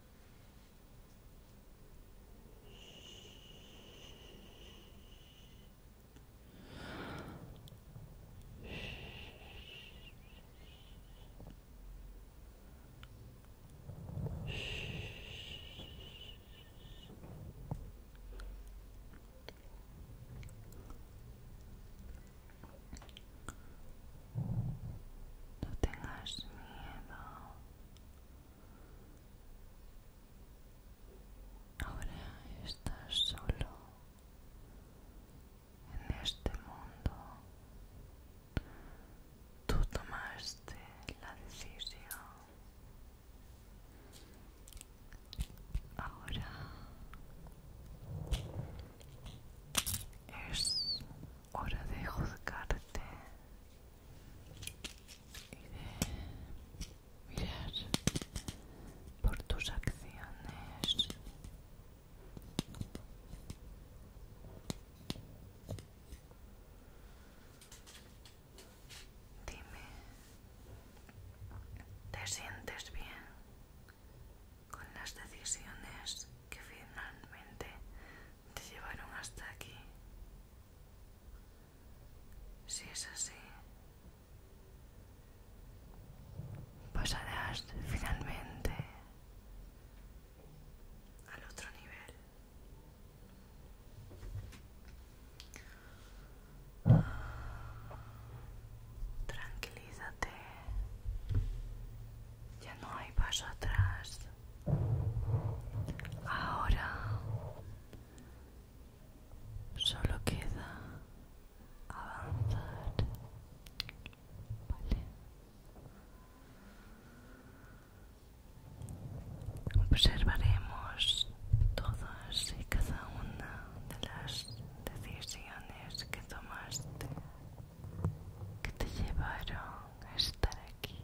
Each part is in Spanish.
No tengas miedo. Ahora estás solo en este mundo. Tú tomaste la decisión. Ahora es hora de juzgarte y mirar por tus acciones. Dime, ¿te sientes bien con las decisiones que finalmente te llevaron hasta aquí? Si es así, pasarás finalmente al otro nivel. Tranquilízate, ya no hay paso atrás. Ahora solo queda avanzar. Vale. Observaremos todas y cada una de las decisiones que tomaste que te llevaron a estar aquí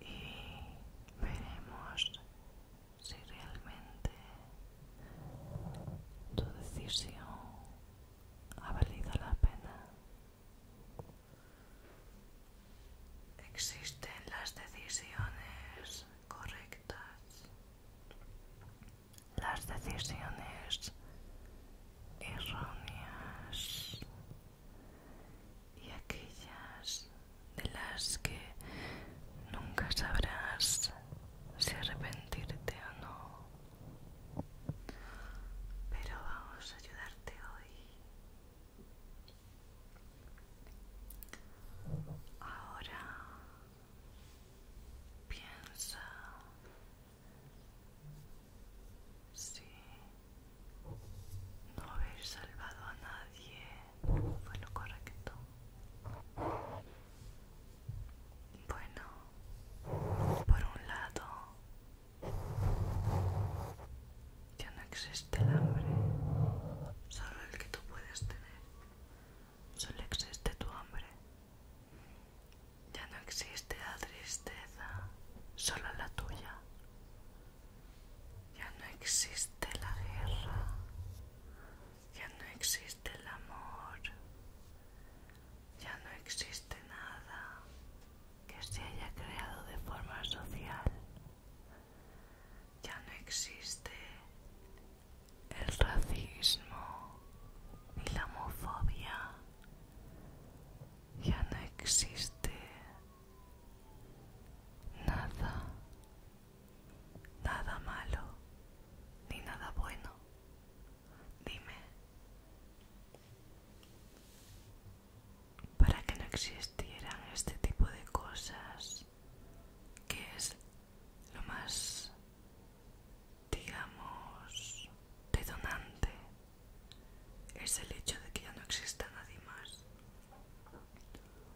y veremos si realmente tu decisión ha valido la pena. Existen las decisiones correctas las decisiones erróneas y aquellas de las que nunca sabrás si arrepentirte o no. Pero vamos a ayudarte hoy. Ahora piensa Sí, no haber salvado a nadie fue lo correcto. Bueno, por un lado, ya no existe el hambre, solo el que tú puedes tener, solo existe tu hambre. Ya no existe la tristeza, solo la tuya. Ya no existe la guerra, ya no existe el amor, ya no existe nada que se haya creado de forma social. Ya no existe el racismo, ni la homofobia, ya no existe nada, nada malo, ni nada bueno. Dime, para que no existieran este tipo de cosas, que es lo más digamos, detonante es el hecho de que ya no exista nadie más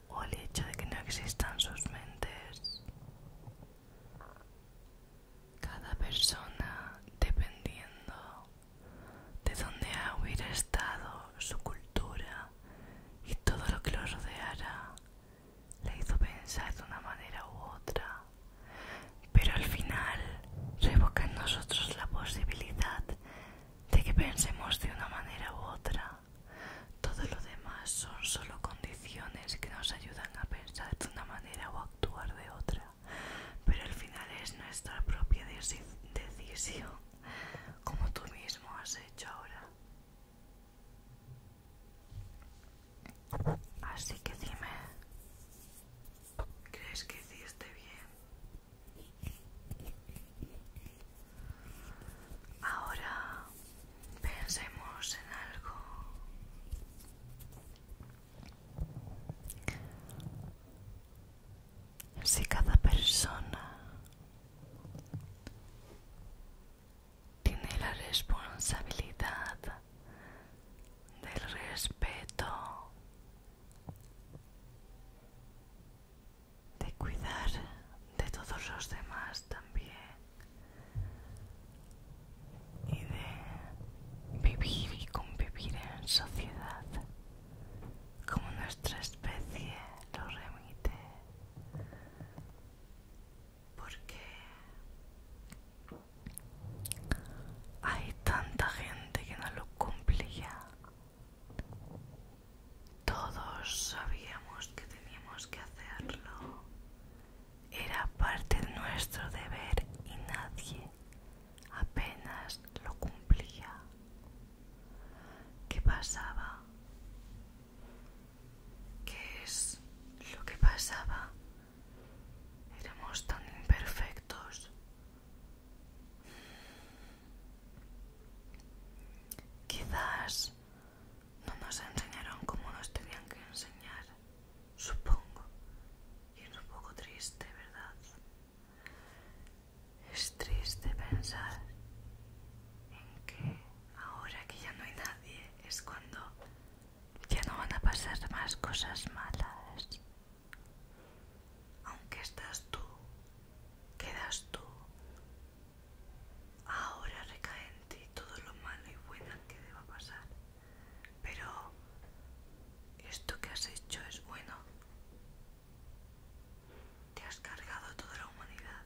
o el hecho de que no existan sus mentes. Cada persona, dependiendo de dónde hubiera estado su cultura y todo lo que lo rodeara, le hizo pensar de una manera u otra pero al final revoca en nosotros la posibilidad de que pensemos de una manera u otra. Todo lo demás son solo condiciones que nos ayudan a pensar de una manera o actuar de otra, pero al final es nuestra propia decisión, como tú mismo has hecho ahora. Así que dime, ¿crees que hiciste bien? Ahora pensemos en algo. Si cada persona tiene la responsabilidad del respeto, de cuidar de todos los demás también y de vivir y convivir en sociedad como nuestra especie lo remite porque hay tanta gente que no lo cumplía. Todos sabíamos que teníamos que hacerlo. Era parte de nuestro deber y nadie apenas lo cumplía. ¿Qué pasaba? ¿Qué es lo que pasaba Éramos tan imperfectos. Quizás no nos enseñaron como nos tenían que enseñar, supongo. Y es un poco triste, ¿verdad? Es triste pensar en que ahora que ya no hay nadie es cuando ya no van a pasar más cosas malas. Aunque estás tú, quedas tú. Ahora recae en ti todo lo malo y bueno que deba pasar. Pero esto que has hecho es bueno. Te has cargado toda la humanidad.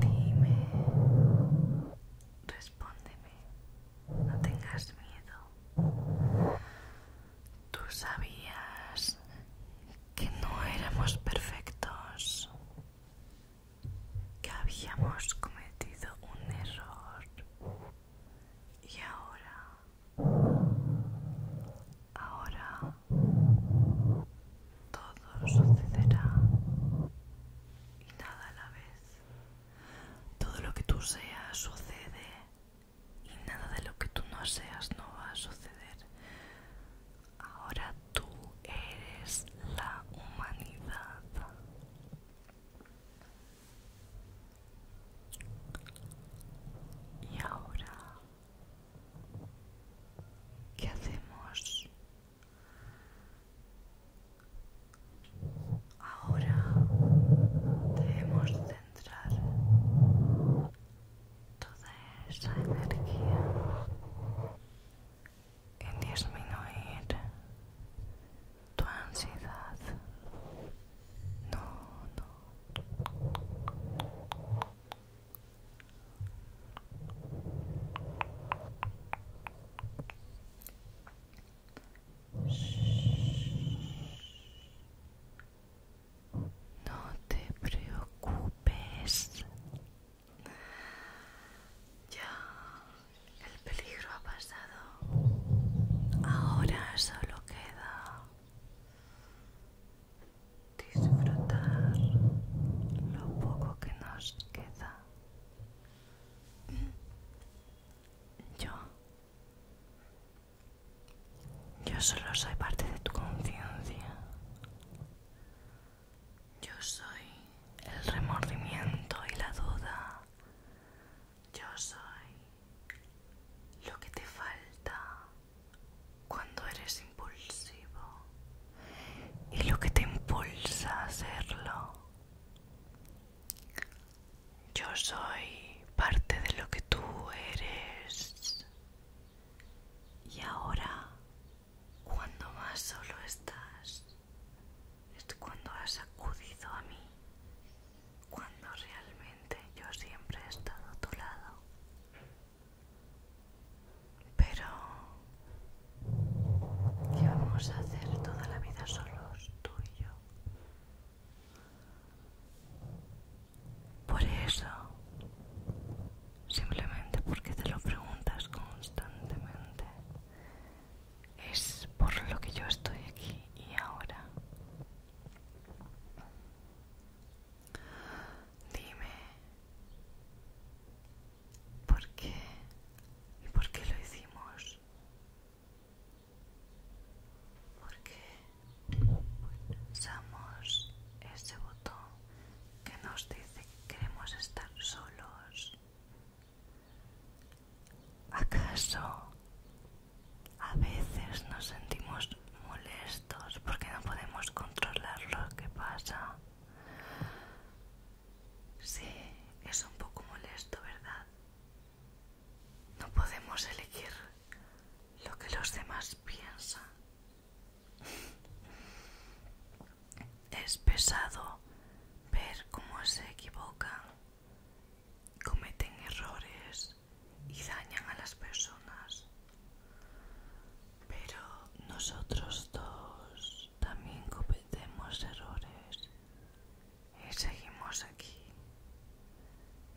Dime, respóndeme, no tengas miedo. Tú sabías que no éramos perfectos, que habíamos cometido un error y ahora, ahora todo sucederá y nada a la vez. Todo lo que tú seas sucede y nada de lo que tú no seas no va a suceder. Ahora tú eres la humanidad. Y ahora ¿Qué hacemos ahora? Debemos centrar toda esa energía en disminuir tu ansiedad. No, no. No te preocupes. Ya el peligro ha pasado. Ahora solo queda disfrutar lo poco que nos queda. Yo, yo solo soy parte de tu conciencia. Yo soy el remordimiento y la duda. Yo soy lo que te falta cuando eres impulsivo y lo que te impulsa a hacerlo. Yo soy parte de lo que tú eres. Y ahora, cuando más solo estás, es cuando has acudido a mí, cuando realmente yo siempre he estado a tu lado. Pero ¿qué vamos a hacer toda la vida solos, tú y yo? Por eso, simplemente porque te lo preguntas constantemente, es por lo que yo estoy aquí y ahora. Dime, ¿por qué y por qué lo hicimos? Porque usamos ese botón que nos dice que queremos estar solos. ¿Acaso a veces nos sentimos molestos porque no podemos controlar lo que pasa. Sí, es un poco molesto, ¿verdad? No podemos elegir lo que los demás piensan. Es pesado ver cómo se equivocan, cometen errores y dañan a las personas. Pero nosotros dos también cometemos errores y seguimos aquí.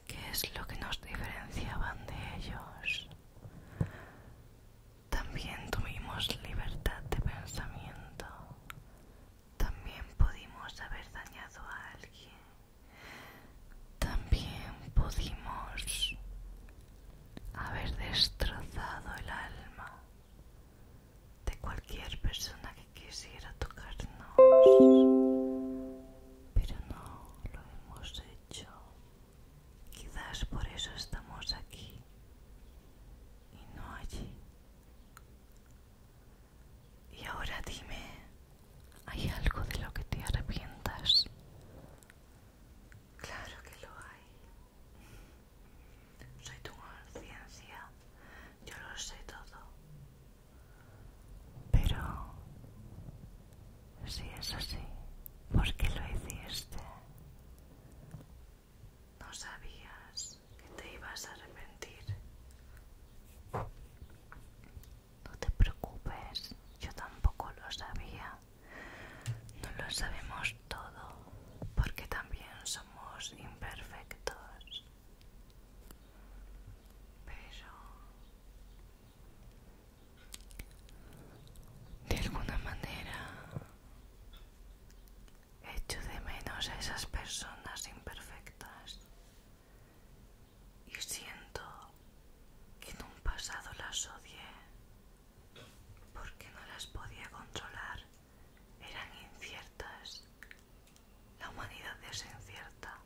¿Qué es lo que nos diferenciaban de ellos? También tuvimos libertad de pensamiento. También pudimos haber dañado a alguien también pudimos haber destrozado el alma de cualquier persona que quisiera tocarnos, pero no lo hemos hecho. Quizás por eso estamos aquí y no allí. Y ahora dime, ¿Hay algo de lo que te arrepientas? Claro que lo hay. Soy tu conciencia, yo lo sé todo. Pero si es así, ¿por qué lo hiciste? No sabías que te ibas a arrepentir. No te preocupes, yo tampoco lo sabía. No lo sabemos todo porque también somos imperfectos. Pero... De alguna manera... Echo de menos a esas personas imperfectas y siento que en un pasado las odié porque no las podía controlar, eran inciertas, la humanidad es incierta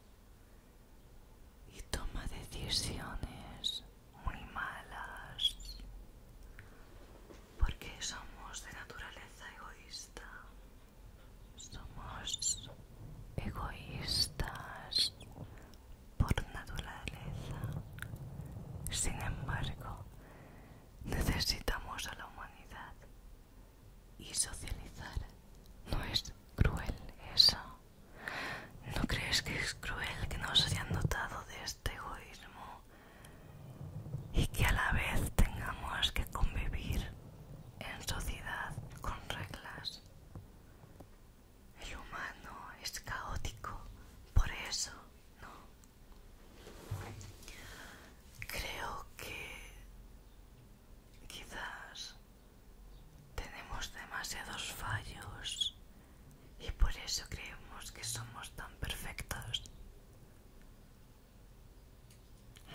y toma decisiones muy malas porque somos de naturaleza egoísta somos egoístas por naturaleza. Sin embargo, necesitamos a la humanidad y socializar no es cruel eso. ¿No crees que es cruel que nos hayan dotado de este egoísmo y que a la vez tengamos que convivir en sociedad con reglas? El humano es caótico, por eso no. Creo que quizás tenemos demasiados fallos y por eso creemos que somos tan perfectos.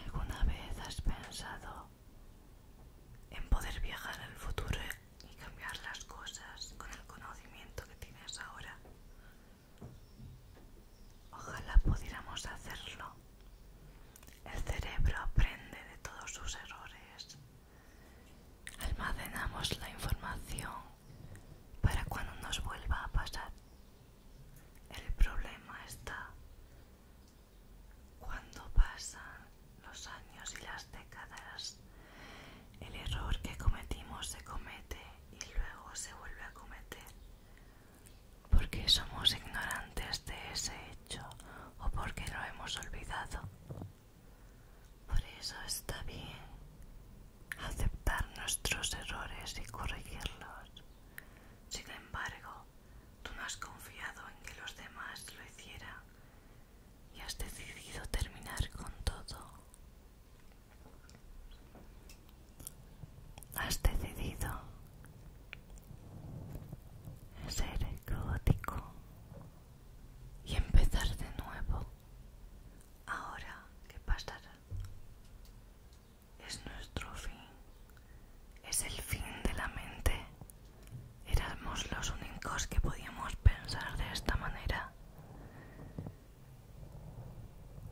¿Alguna vez has pensado en poder viajar al futuro y cambiar las cosas con el conocimiento que tienes ahora. Ojalá pudiéramos hacerlo. El cerebro aprende de todos sus errores. Almacenamos la información para cuando nos vuelva a pasar. El problema está cuando pasan los años y las décadas, el error que cometimos se comete y luego se vuelve a cometer. Porque somos ignorantes de ese hecho o porque lo hemos olvidado. Por eso está bien aceptar nuestros errores y corregirlos. Sin embargo, Tú no has confiado en que los demás lo hicieran y has decidido terminar con todo. Has decidido ser caótico y empezar de nuevo. Ahora, que pasará? Es nuestro fin. Es el fin de la mente. Éramos los únicos que podíamos pensar de esta manera.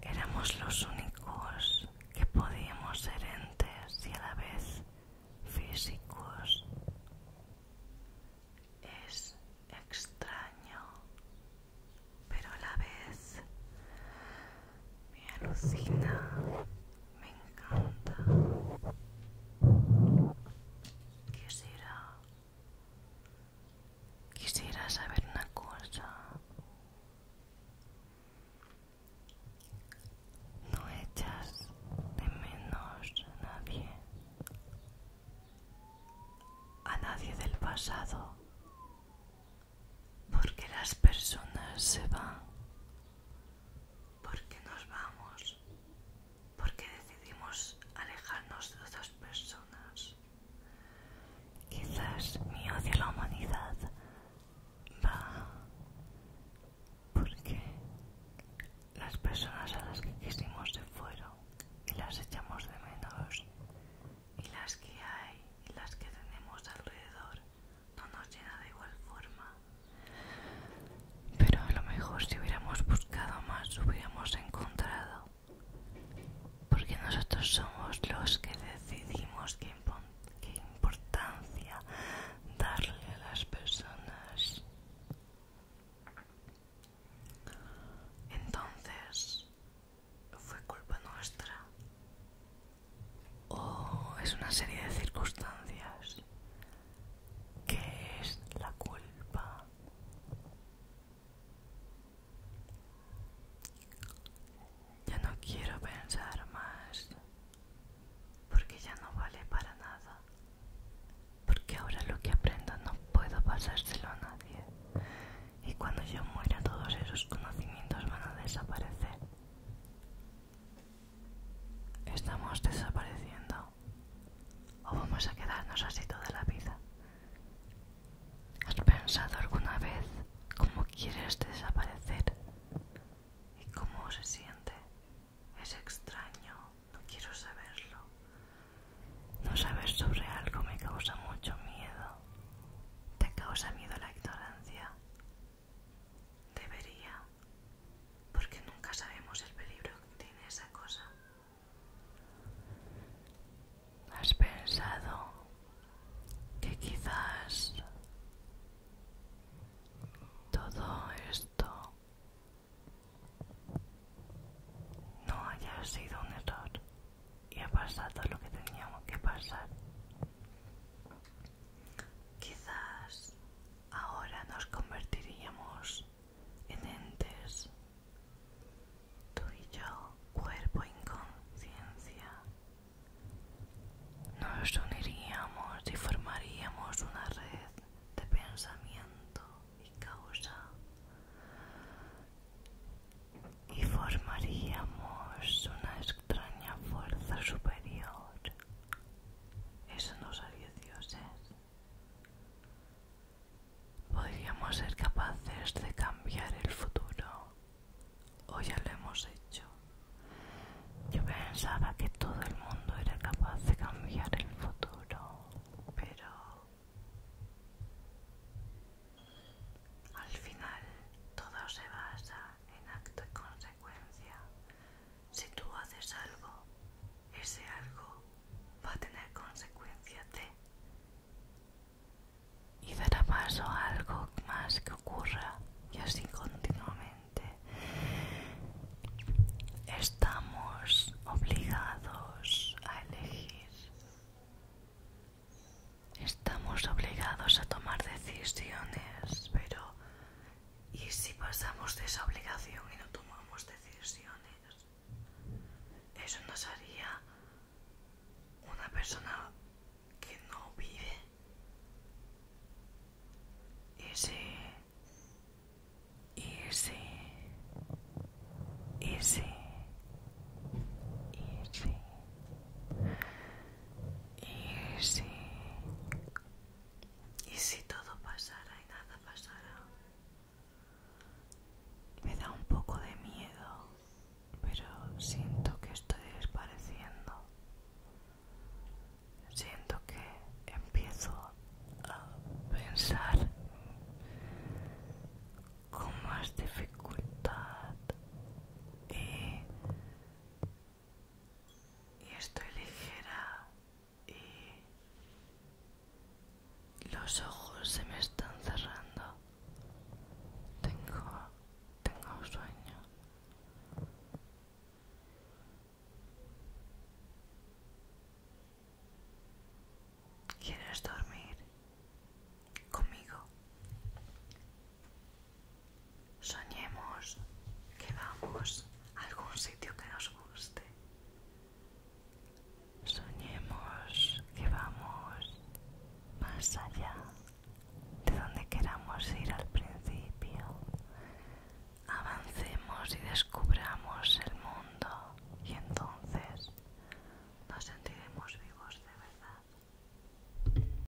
Éramos los únicos que podíamos ser entes y a la vez físicos. Es extraño, pero a la vez me alucina me encanta. Quisiera... Quisiera saber una cosa. No echas de menos a nadie. A nadie del pasado. Porque las personas se van ¿Por qué nos vamos? ¿Por qué decidimos alejarnos de otras personas? Quizás mi odio a la humanidad va porque las personas a las que quisimos se fueron y las echamos de menos y las que hay y las que tenemos alrededor no nos llena de igual forma. Pero a lo mejor si hubiéramos buscado más hubiéramos encontrado. Porque nosotros somos los que decidimos qué importancia darle a las personas. Entonces, fue culpa nuestra o oh, es una serie de circunstancias? Que es la culpa? Ya no quiero pensar más, porque ya no vale para nada, porque ahora lo que aprendo no puedo pasárselo a nadie, y cuando yo muera todos esos conocimientos van a desaparecer. Estamos desapareciendo o vamos a quedarnos así toda la vida. ¿Has pensado alguna vez cómo quieres desaparecer y cómo se siente? Es extraño, no quiero saberlo. No saber sobre algo me causa mucho miedo. ¿Te causa miedo la ignorancia? Debería, porque nunca sabemos el peligro que tiene esa cosa. ¿Has pensado que quizás todo esto no haya sido un error y ha pasado lo que teníamos que pasar? Quizás ahora nos convertiríamos en entes, tú y yo, cuerpo en conciencia. Nos uniríamos y formaríamos una red de pensamiento y causa y formaríamos una extraña fuerza superior eso no salió dioses. ¿eh? Podríamos ser capaces de cambiar el futuro. O ya lo hemos hecho. Yo pensaba que todo el mundo era capaz de cambiar el futuro, pero al final todo se basa en actos y si tú haces algo, ese algo va a tener consecuencias de y dará paso a algo más que ocurra y así continuamente. Estamos obligados a elegir. Estamos obligados a tomar decisiones, pero y si pasamos de esa obligación y no tomamos decisiones, eso nos haría una persona que no vive. Y si... Y si... Y si, y si todo pasara y nada pasara, me da un poco de miedo, pero siento que estoy desapareciendo. Siento que empiezo a pensar con más dificultad y estoy ligera y los ojos se me están cerrando tengo tengo sueño ¿Quieres dormir conmigo? Soñemos que vamos a algún sitio que nos guste. Soñemos que vamos más allá de donde queramos ir al principio. Avancemos y descubramos el mundo y entonces nos sentiremos vivos de verdad.